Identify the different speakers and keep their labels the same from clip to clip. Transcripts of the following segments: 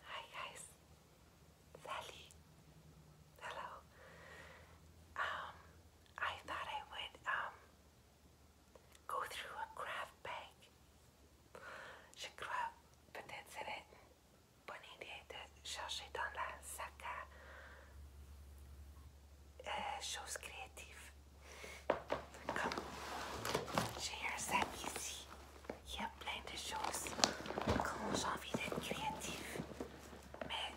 Speaker 1: Hi guys, Sally. Hello. Um, I thought I would um go through a craft bag. Je peut-être serait une bonne idée de chercher dans la sac choses uh, créatives Comme j'ai un sac ici, il y a plein de choses quand j'ai envie d'être créatif. Mais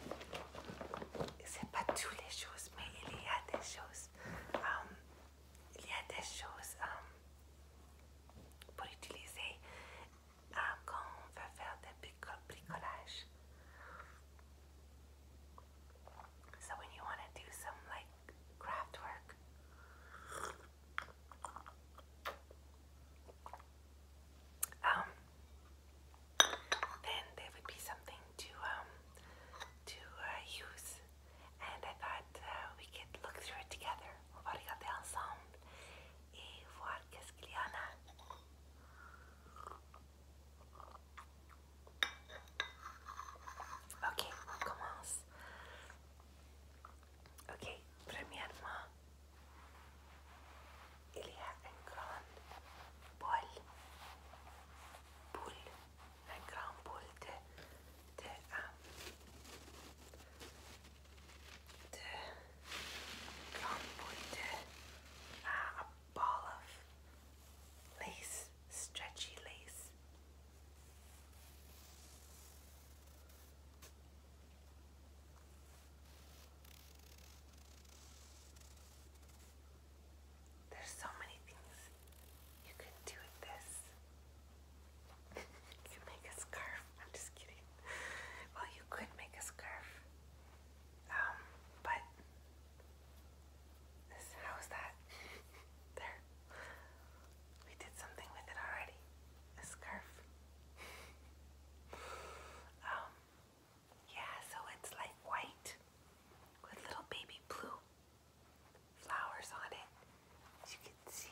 Speaker 1: c'est pas toutes les choses, mais il y a des choses. Um, il y a des choses um, pour utiliser um, quand on veut faire des petits bricolages. So when you want to do some craft work. Um, then there would be something to um to uh, use, and I thought uh, we could look through it together. On va ensemble et voir qu'est-ce qu'il y en Ok, commence. Ok, premièrement, il y a une grande boule, boule, une grande boule de, de, euh, grande boule de, a euh, ball lace stretchy lace. There's so many things you could do with this. you can make a scarf. I'm just kidding. well, you could make a scarf. Um, but how is that? there. We did something with it already. A scarf. um, yeah, so it's like white with little baby blue flowers on it, as you can see.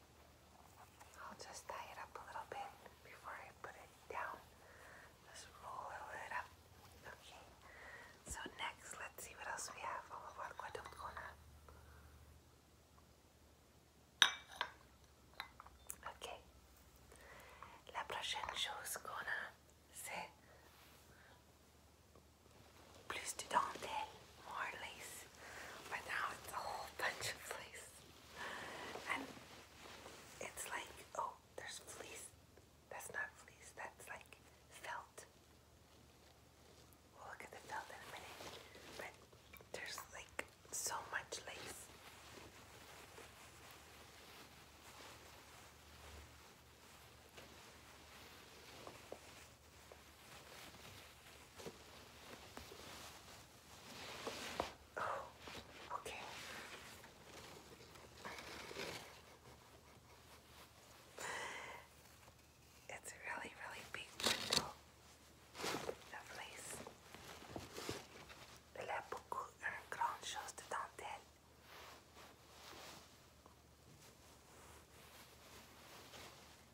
Speaker 1: I'll just tie it up a little bit before I put it down. Just roll it up. Okay. So next, let's see what else we have. Vamos a ver cuánto Okay. La prochaine chose qu'on a, c'est plus de dentelle, more lace. But now it's a whole bunch of lace and it's like, oh, there's fleece. That's not fleece, that's like felt. We'll look at the felt in a minute, but there's like so much lace. Oh, okay. It's a really, really big window. Lovelace. Elle a beaucoup, une grande chose de dentelle.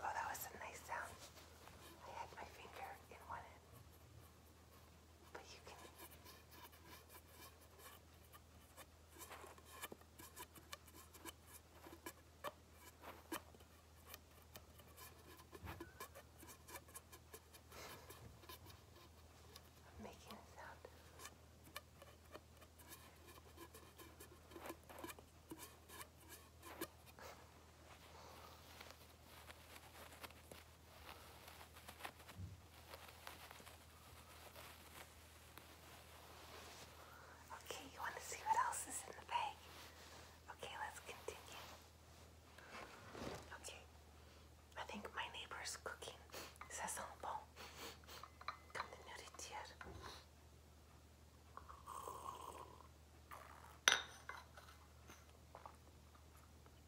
Speaker 1: Oh, that was a nice sound. I had my finger in one end. But you can. I'm making a sound. Okay, you want to see what else is in the bag? Okay, let's continue. Okay. I think my neighbor's cooking. Ça sent bon. Comme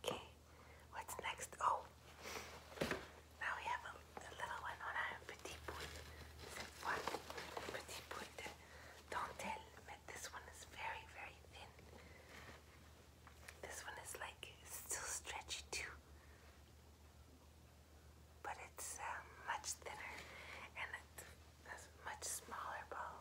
Speaker 1: Okay, what's next? Oh, now we have a, little one on a petit bout. Cette petit bout don't tell, but this one is very, very thin. This one is like still stretchy too, but it's uh, much thinner and it's a much smaller ball.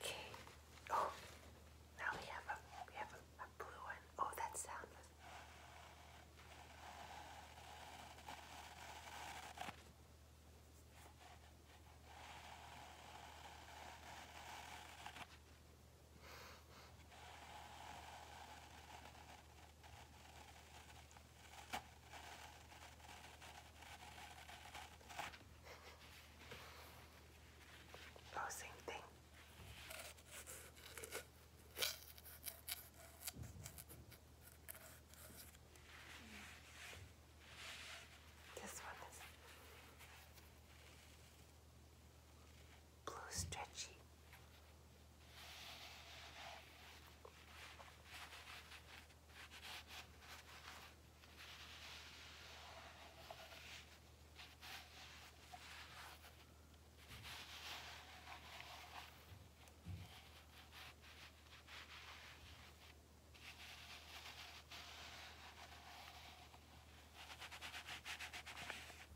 Speaker 1: Okay. Oh, now we have a we have a, blue one. Oh, that sound Oh, same thing. This one is blue stretchy. And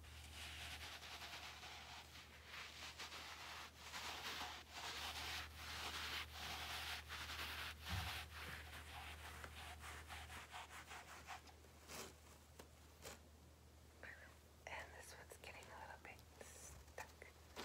Speaker 1: this one's getting a little bit stuck. Okay,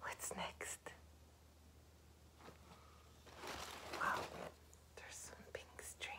Speaker 1: What's next? Wow, there's some pink string.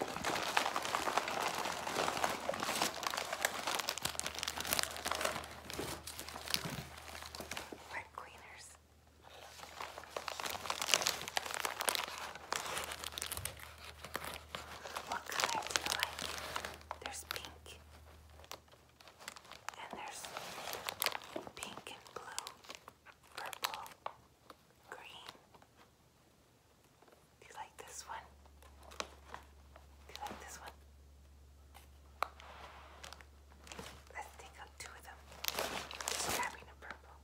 Speaker 1: Wet cleaners. What color do you like? There's pink. And there's pink and blue, purple, green, do you like this one? Do you like this one? Let's take up two of them. grabbing a purple.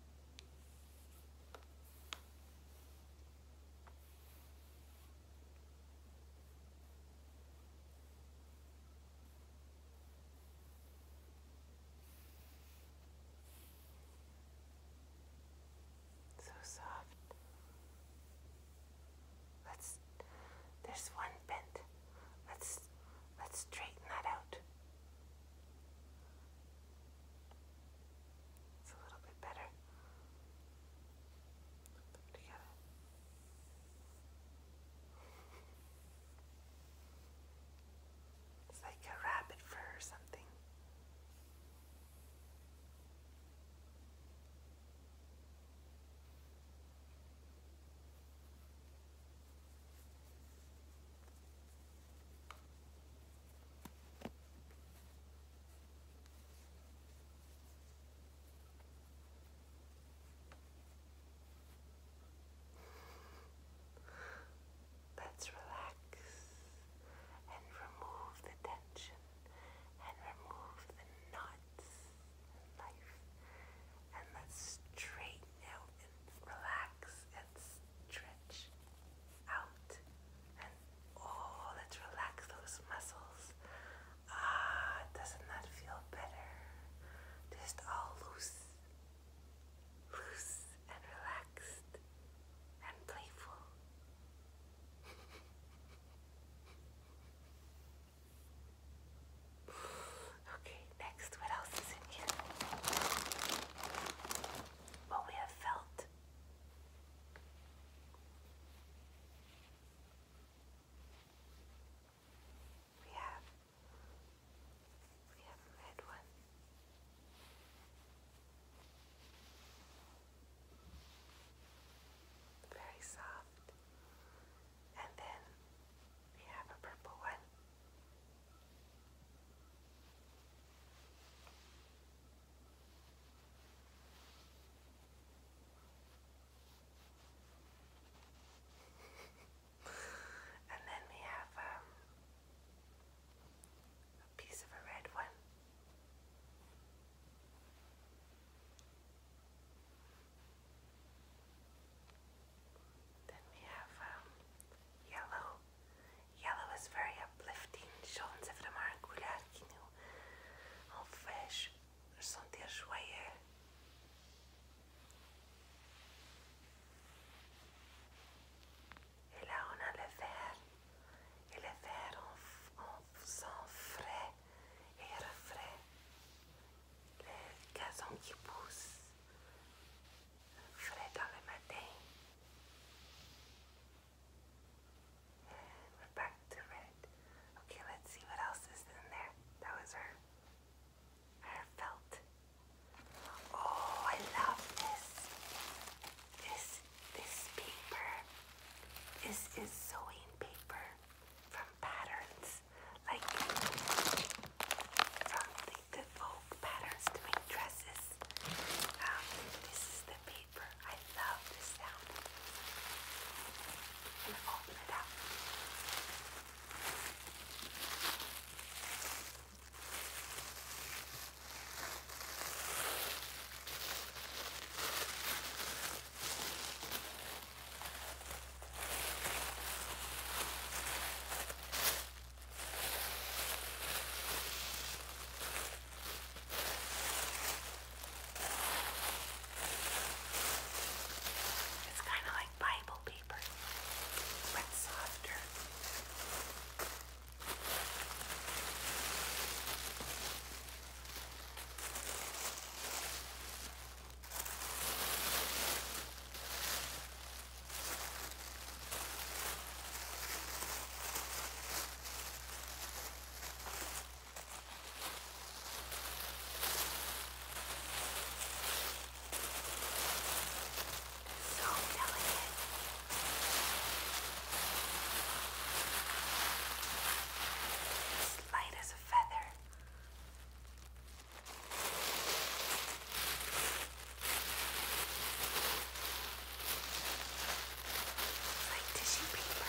Speaker 1: So soft. Let's there's one bent. Let's let's straighten that out. It's a little bit better. Put them together. It's like a rabbit fur or something. Let's relax and remove the tension and remove the knots in life. And let's straighten out and relax and stretch out. And oh, let's relax those muscles. Ah, doesn't that feel better? Just all loose, loose and relaxed and playful. okay, next, what else is in here? What we have felt. We have we haven't made one. Very soft. And then we have a purple one. And then we have um, a piece of a red one. Then we have um, yellow. Yellow is very uplifting. Jones é uma agulha que não vejo. São ter joia. Et là, on a le verre. Et on, on sent frais et refrais. Le gazon qui pousse, frais dans le matin. And we're back to red. Okay, let's see what else is in there. That was her Heartfelt. Oh, I love this. This this paper. This is sewing paper from patterns. Like from the, the folk patterns to make dresses. Um, this is the paper. I love this sound. And open it it's kind of like Bible paper, but softer. So delicate. It's light as a feather. It's like tissue paper.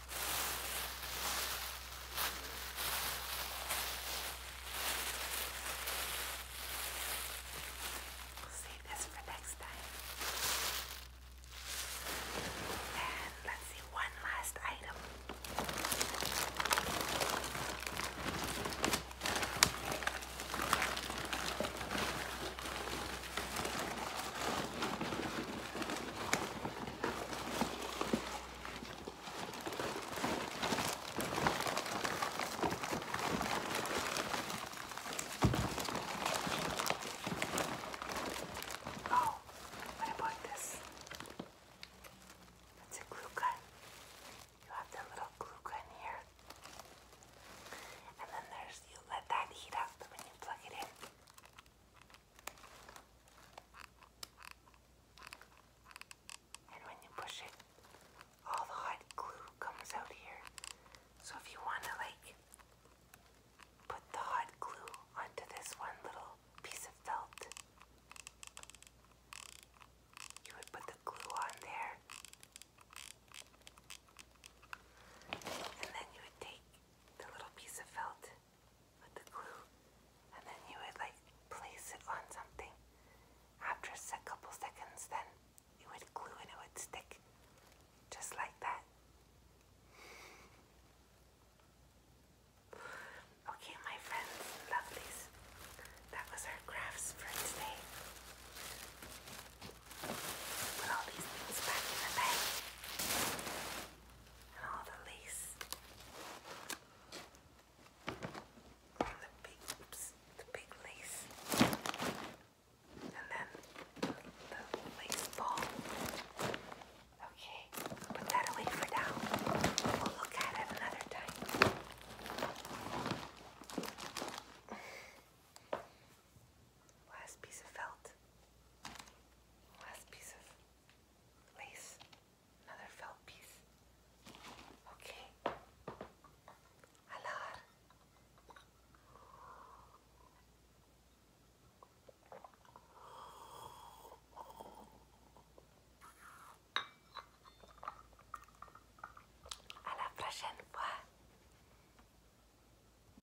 Speaker 1: We'll save this for next time. And let's see one last item. Oh, what about this? That's a glue gun. You have that little glue gun here. And then there's, you let that heat up when you plug it in. And when you push it, all the hot glue comes out here. So if you want to like put the hot glue onto this one little piece of felt, you would put the glue on there. And then you would take the little piece of felt with the glue, and then you would like place it on something. After a couple seconds, then you would glue and it would stick just like that. Okay, my friends lovelies, that was our crafts for today. Put all these things back in the bag and all the lace the big, oops, the big lace and then the lace ball. Okay, put that away for now. We'll look at it another time. last piece of felt, last piece of lace, another felt piece. Okay. Alar. À la prochaine